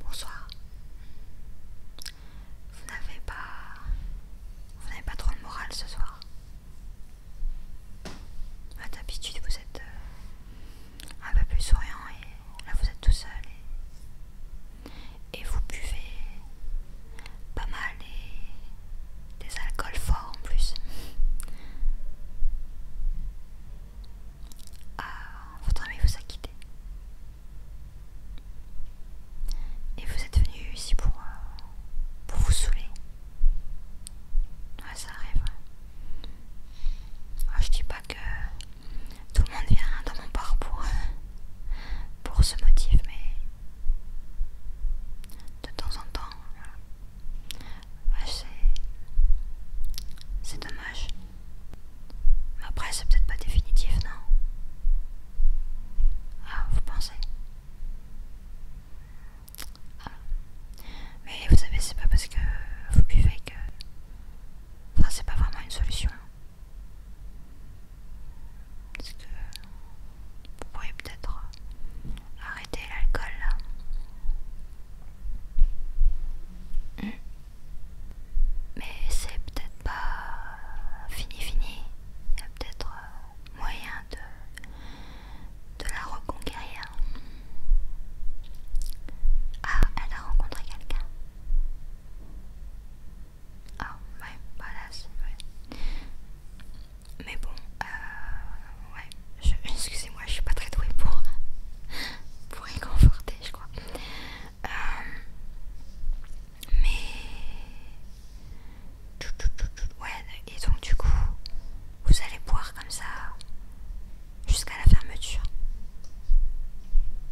Bonsoir. Vous n'avez pas... Vous n'avez pas trop de moral ce soir. Ah, d'habitude vous êtes euh, un peu plus souriant et là vous êtes tout seul et, vous buvez pas mal et des alcools forts en plus. Ah, votre ami vous a quitté. Et vous êtes venu ici pour, euh, pour vous saouler. Ouais, ça arrive, Je dis pas que tout le monde vient dans mon parcours euh, pour, ce motif, mais de temps en temps, euh, c'est dommage. Mais après, c'est peut-être pas définitif, non ah, vous pensez mais vous savez, c'est pas parce que vous buvez que. Enfin, c'est pas vraiment une solution. Parce que vous pourriez peut-être euh, arrêter l'alcool là. Hmm. Mais c'est peut-être pas euh, fini fini. Il y a peut-être euh, moyen de de la reconquérir. Ah, elle a rencontré quelqu'un. Ah, ouais, voilà, c'est Mais bon, euh, ouais, excusez-moi, je suis pas très douée pour, pour y je crois. Euh, mais Ouais, et donc du coup, vous allez boire comme ça jusqu'à la fermeture.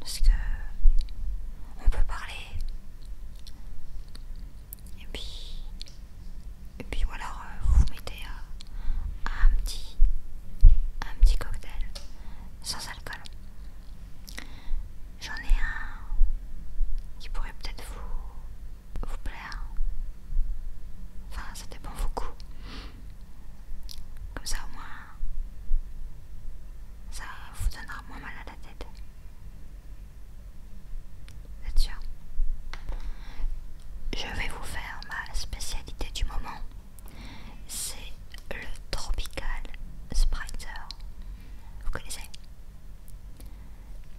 Parce que on peut parler. Et puis, et puis voilà, euh, vous vous mettez euh, un petit, un petit cocktail sans alcool. J'en ai un qui pourrait peut-être vous vous plaire. Enfin, ça dépend vos coups Comme ça, au moins, ça vous donnera moins mal à la tête. Vous êtes sûr Je vais vous faire ma spécialité du moment. C'est le Tropical spritzer, Vous connaissez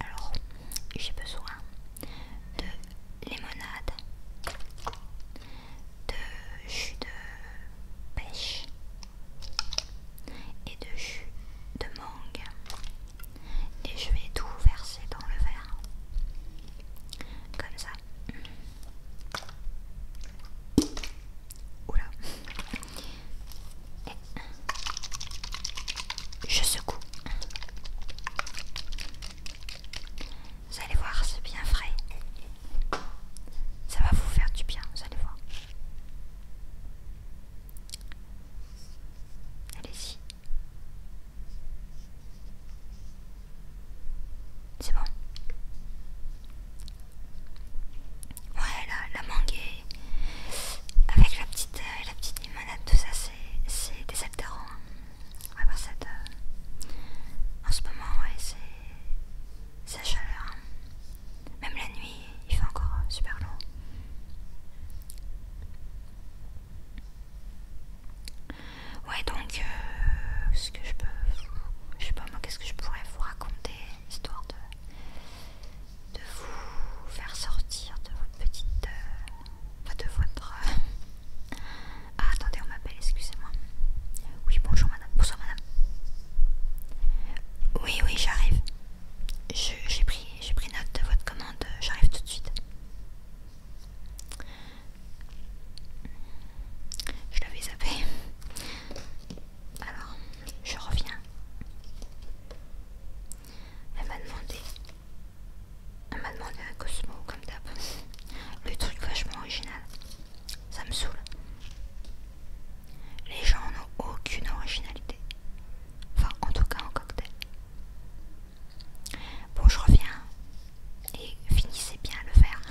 Alors, j'ai besoin de limonade, de jus de pêche et de jus de mangue. Et je vais tout verser dans le verre. Comme ça. Oula. Je secoue. Vous allez voir, c'est bien frais. Ça va vous faire du bien, vous allez voir. Allez-y. C'est bon. Ouais, la, mangue Avec la petite, euh, la petite manette, tout ça c'est des Ouais, en ce moment, ouais, c'est la chaleur. Hein. Même la nuit, il fait encore euh, super long. Ouais, donc, euh, ce que je peux. Je sais pas moi, qu'est-ce que je pourrais vous raconter, histoire de de vous faire sortir de votre petite... Euh, de votre... Ah, attendez, on m'appelle, excusez-moi. Oui, bonjour madame. Bonsoir madame. Oui, oui, j'arrive. J'ai pris, pris note de votre commande, j'arrive tout de suite. Je l'avais zappé. Alors, je reviens. Elle m'a demandé. Elle m'a demandé un Cosmo comme d'hab. Le truc vachement original. Ça me saoule. Les gens n'ont aucune originalité. Enfin, en tout cas en cocktail. Bon, je reviens. Et finissez bien le verre.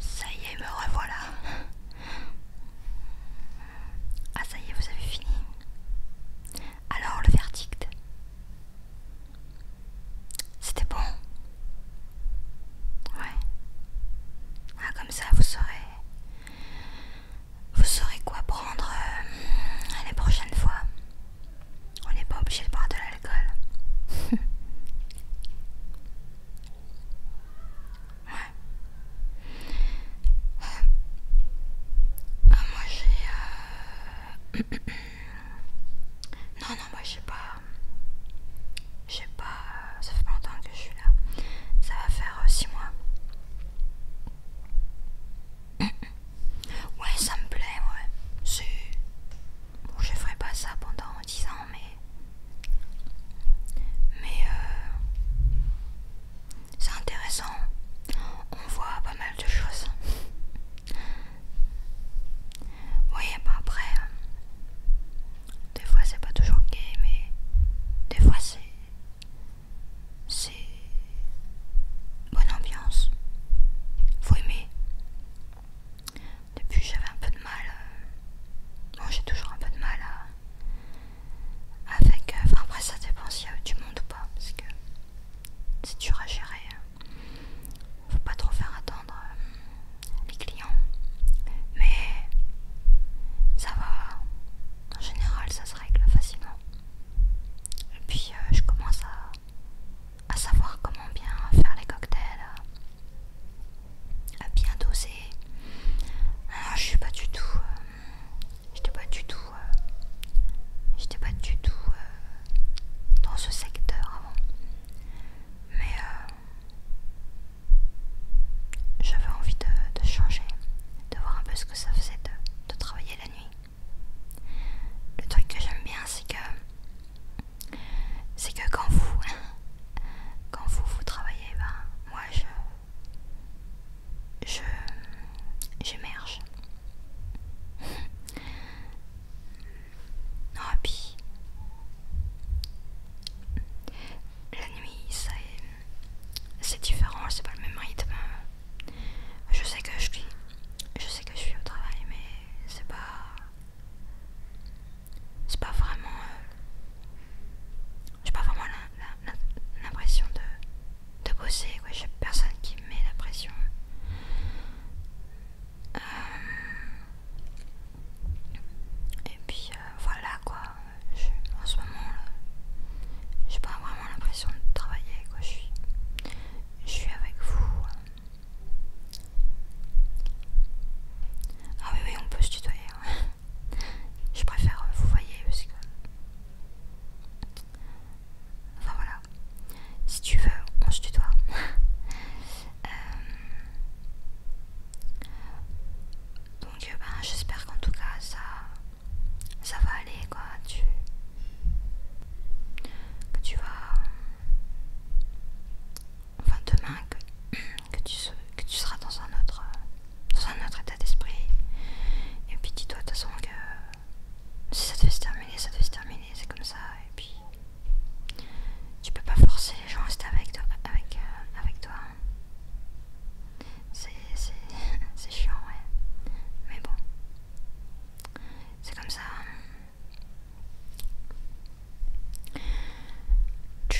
Ça y est, me revoilà. Ah, ça y est, vous avez fini. Alors, le verdict. C'était bon. Ouais. Ah, comme ça, vous saurez. Vous saurez quoi prendre euh, les prochaines fois. On n'est pas obligé de boire de l'alcool. Ouais. Ah, moi j'ai... Euh, non, non, moi j'ai pas... J'ai pas... Ça fait longtemps que je suis là. Ça va faire 6 euh, mois. Ouais, ça me plaît, ouais. C'est je ferai pas ça pendant 10 ans, mais. Mais. Euh, c'est intéressant. On voit pas mal de choses. voyez, bah après. Des fois, c'est pas toujours gay, mais. Des fois, c'est. C'est. Bonne ambiance. Faut aimer depuis j'avais un peu de mal, moi euh, j'ai toujours un peu de mal avec, euh, enfin après ça dépend s'il y a du monde ou pas, parce que c'est dur à gérer, hein. faut pas trop faire attendre euh, les clients, mais ça va, en général ça se règle facilement, et puis je commence à à savoir comment bien faire les cocktails, à bien doser. Ah, je suis pas du tout, euh, j'étais pas du tout, euh, j'étais pas du tout euh, dans ce secteur avant, mais j'avais envie de, changer, de voir un peu ce que ça faisait de travailler la nuit. Le truc que j'aime bien, c'est que c'est que quand vous quand vous vous travaillez ben moi je je j'émerge non et puis la nuit ça c'est différent c'est pas le même rythme je sais que je suis je sais que je suis au travail mais c'est pas c'est pas vraiment. Euh, j'ai pas vraiment l'impression de, bosser, J'ai personne qui me met la pression. Euh, et puis euh, voilà quoi. en ce moment J'ai pas vraiment l'impression de travailler Je suis, je suis avec vous. Hein. Ah oui oui on peut se tutoyer. Hein. Je préfère euh, vous voyez aussi Enfin voilà. Si tu veux, on se tutoie. Euh, donc euh, ben, j'espère qu'en tout cas ça ça va aller quoi. Tu que tu vas euh, enfin demain que, tu, seras dans un autre euh, un autre état d'esprit et puis dis-toi de toute façon que si ça devait se terminer ça devait se terminer c'est comme ça et puis tu peux pas forcer les gens à rester avec toi avec, euh, toi hein. c'est chiant ouais mais bon c'est comme ça hein ouais,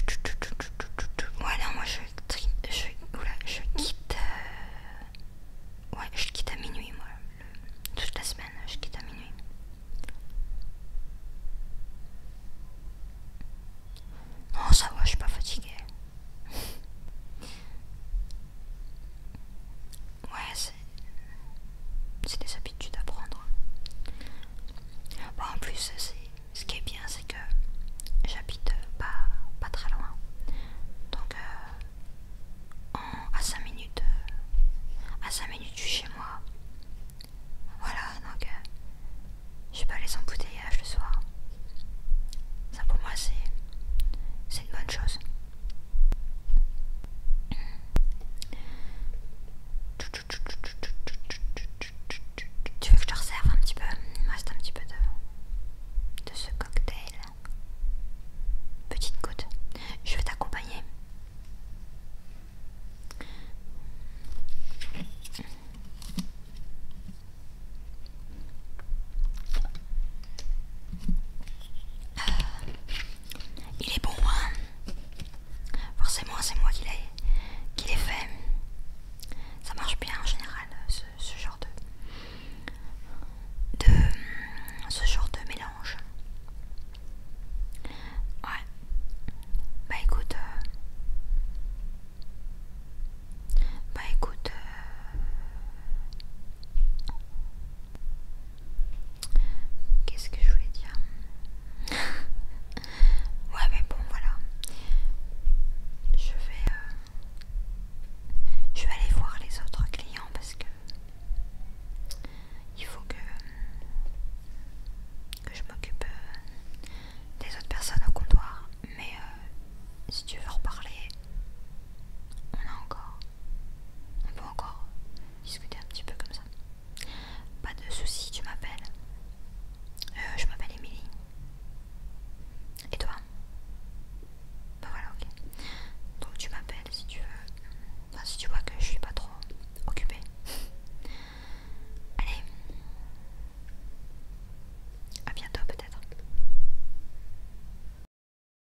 non, moi je, je, oula, je quitte. Euh, ouais, je quitte à minuit, moi. toute la semaine, je quitte à minuit. Non, ça va, je suis pas fatiguée. Ouais, c'est des habitudes à prendre. en plus, ce qui est bien, c'est que j'habite pas, pas très loin. Donc, euh, à 5 minutes, euh, à 5 minutes je suis chez moi. Voilà, donc euh, je vais pas les embouteillages le soir. Ça pour moi, c'est une bonne chose. Tu veux que je te resserve un petit peu reste un petit peu de, de ce cocktail. Petite goutte. Je vais t'accompagner. Il est bon, hein Forcément, c'est moi qui l'ai qui fait. Ça marche bien en général, ce, genre de, de... ce genre de mélange. Ouais. Bah écoute... Euh, bah écoute... Euh, Qu'est-ce que je voulais dire Ouais, mais bon, voilà. Je vais, euh, je vais aller voir les autres clients parce que il faut que, je m'occupe euh, des autres personnes au comptoir. Mais euh, si tu veux reparler on a encore, on peut encore discuter un petit peu comme ça. Pas de soucis, tu m'appelles. Euh, je m'appelle Emilie Et toi Bah voilà, ok. Donc tu m'appelles si tu veux. Enfin, si tu vois que je suis pas trop occupée. Allez, à bientôt peut-être.